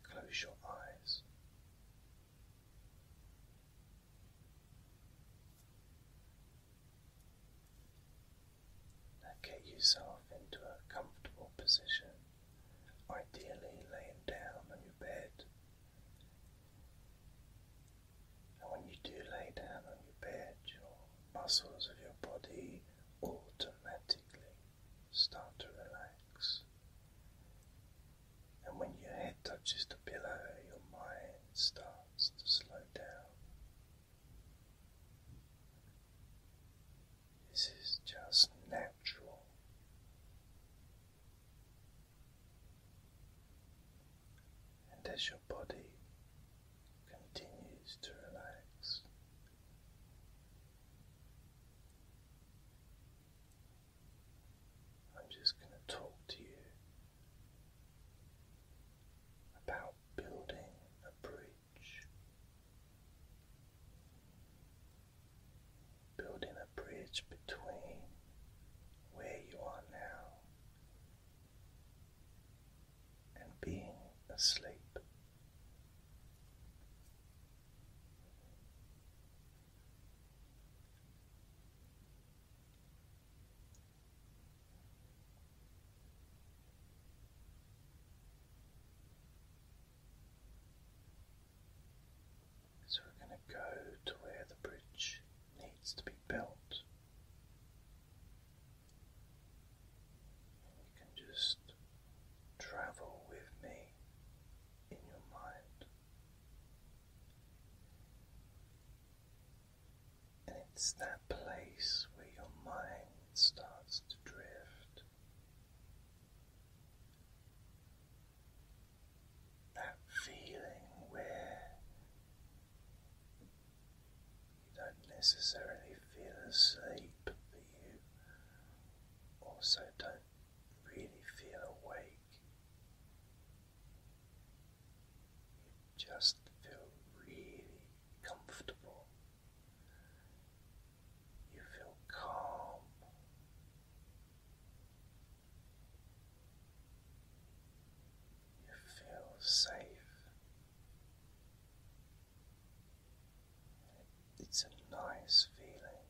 close your eyes. Now get yourself into a comfortable position, ideally laying down on your bed. And when you do lay down on your bed, your muscles of your body automatically start to relax. And when your head touches the pillow, your mind starts to slow down. This is just natural. And as your body continues to relax, I'm just going to talk to you about building a bridge. Building a bridge between where you are now and being asleep. So we're going to go to where the bridge needs to be built. you can just travel with me in your mind. And it's that place where your mind starts to drift. That feeling where you don't necessarily feel asleep, but you also don't really feel awake, you just feel really comfortable, you feel calm. You feel safe, it's a nice feeling.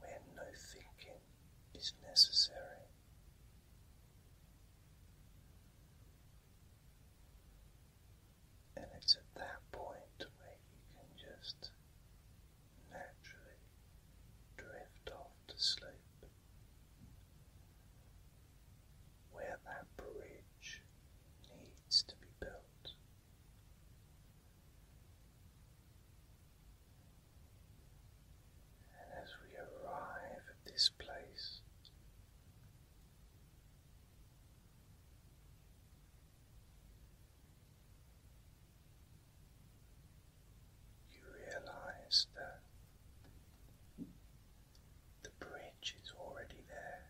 Where no thinking is necessary, and it's at that point where you can just naturally drift off to sleep where that bridge needs to be built. And as we arrive at this place, you realize that the bridge is already there.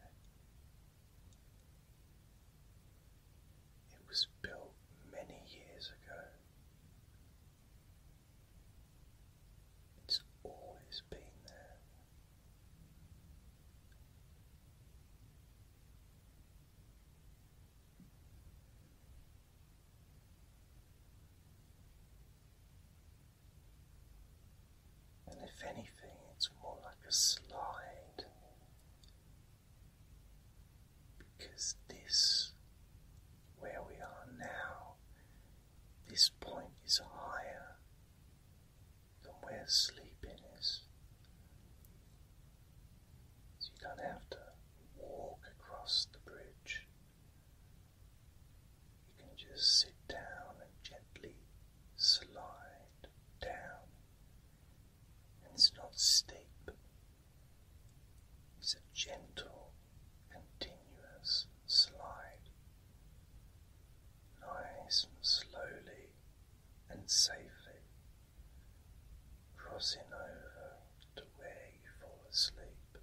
It was built many years ago. It's always been there and if anything, it's more like a slide because this, where we are now, this point is higher than where sleeping is. So you don't have to walk across the bridge. You can just sit down and gently slide down. And it's not steep, it's a gentle, continuous slide. Nice and slowly and safely crossing over to where you fall asleep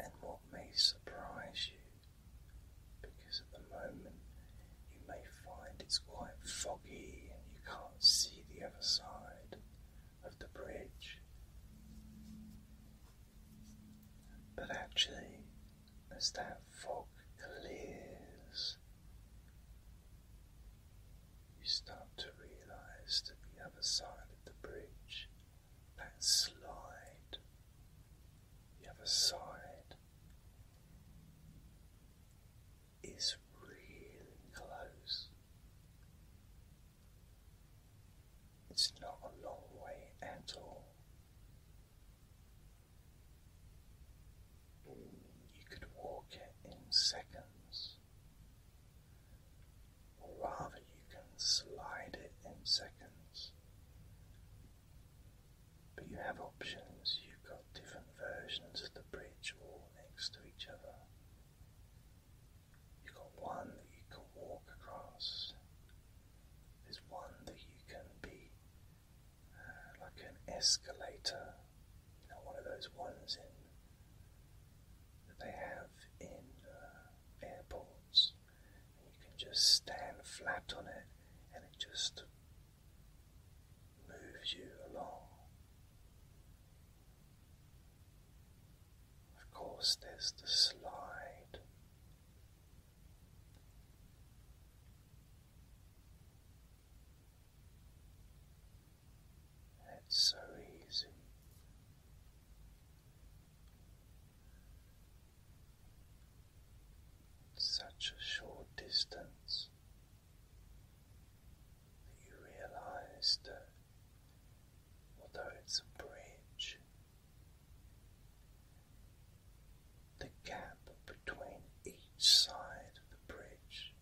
and what may surprise you because at the moment you may find it's quite foggy and you can't see the other side of the bridge. But actually, as that fog clears, you start to realize that the other side of the bridge, that slide, the other side is really close. It's not a long way at all. You could walk it in seconds or rather, you can slide it in seconds. But you have options, you've got different versions of the bridge all next to each other. You've got one that you can walk across, there's one that you can be uh, like an escalator you know, one of those ones in that they have in uh, airports, and you can just stand flat on it, and it just moves you along. Of course, there's the slide. It's so easy. such a short distance that you realize that although it's a bridge, the gap between each side of the bridge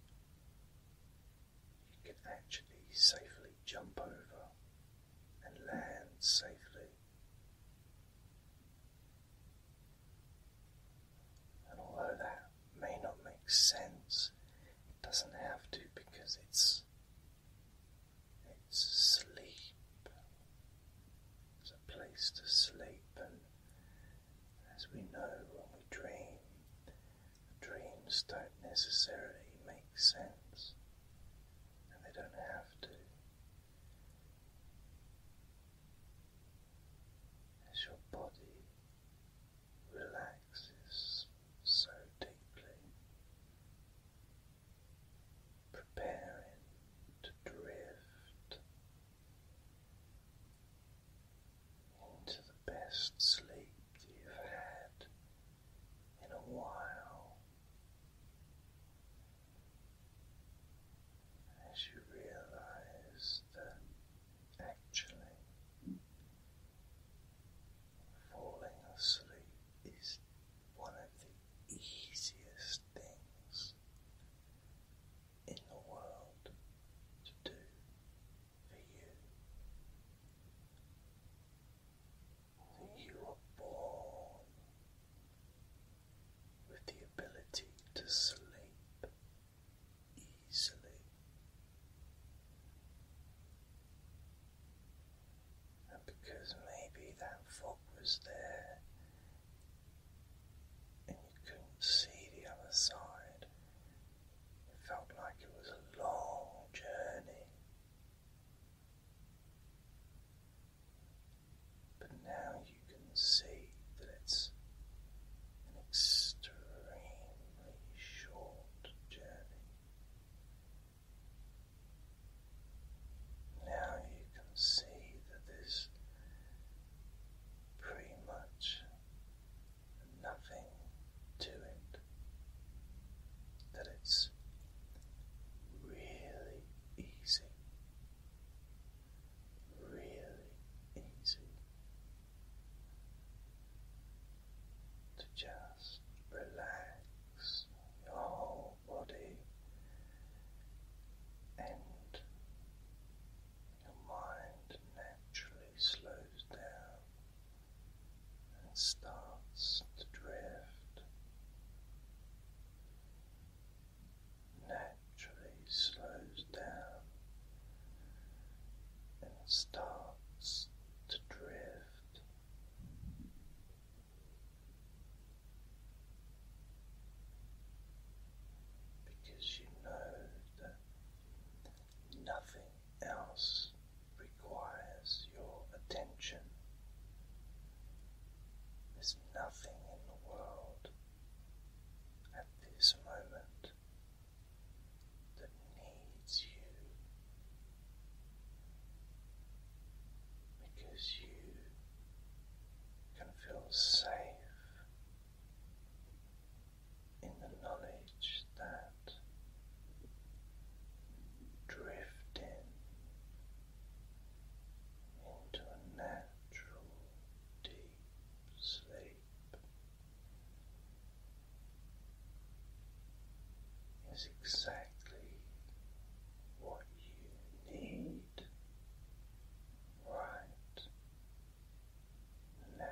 you can actually safely jump over and land safely. And although that may not make sense, it doesn't have to because it's it's sleep. It's a place to sleep and as we know when we dream Dreams don't necessarily make sense, and they don't have to. As your body relaxes so deeply, preparing to drift into the best sleep you've had in a while as you realize that actually falling asleep is one of the easiest things in the world to do for you. That you are born with the ability to sleep easily and because maybe that fog was there and you couldn't see the other side it felt like it was a long journey. But now you can see that it's an extremely short journey. Now you can see that there's pretty much nothing to it, that it's really easy, really easy to just relax your whole body and your mind naturally slows down and starts to drift naturally slows down and starts to drift. Because you know that Nothing else requires your attention. There's nothing in the world at this moment that needs you because you can feel safe in the knowledge that drifting into a natural deep sleep is exactly what you need right now.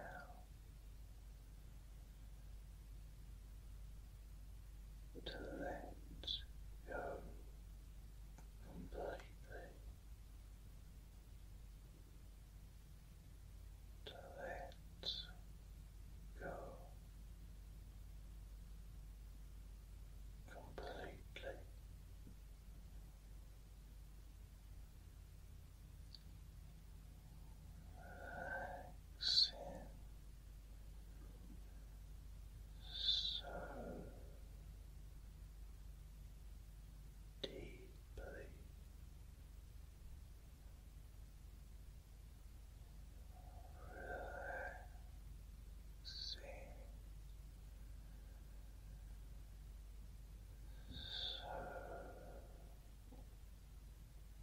To let go completely, to let go completely. Relaxing so deeply. Relaxing so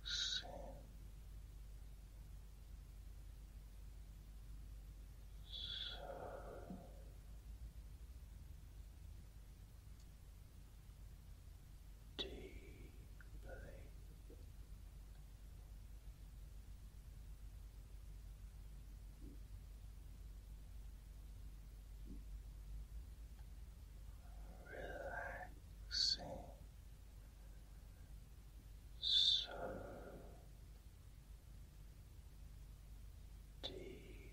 Relaxing. So deeply Relaxing so deeply.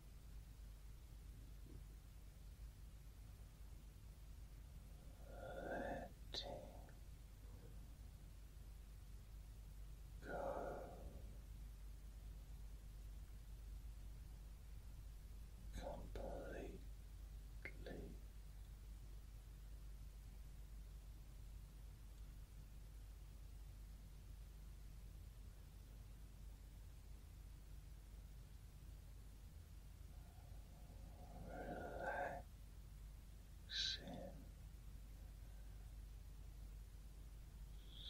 Letting go. Completely Relaxing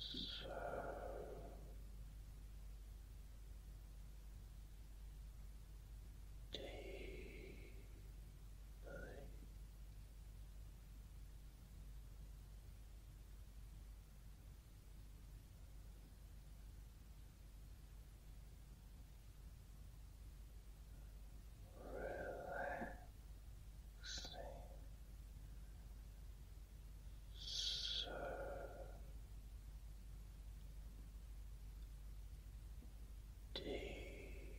so deeply. Relaxing so deeply.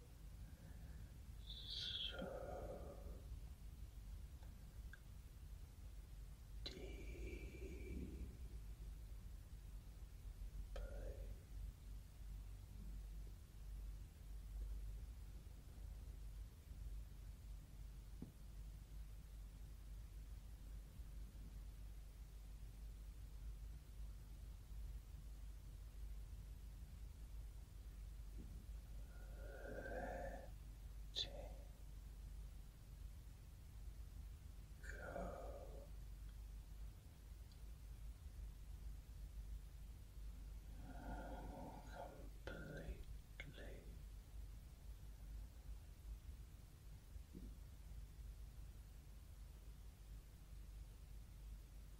so deeply. Relax. Letting go. Completely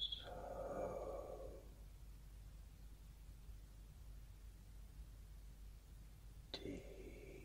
so deeply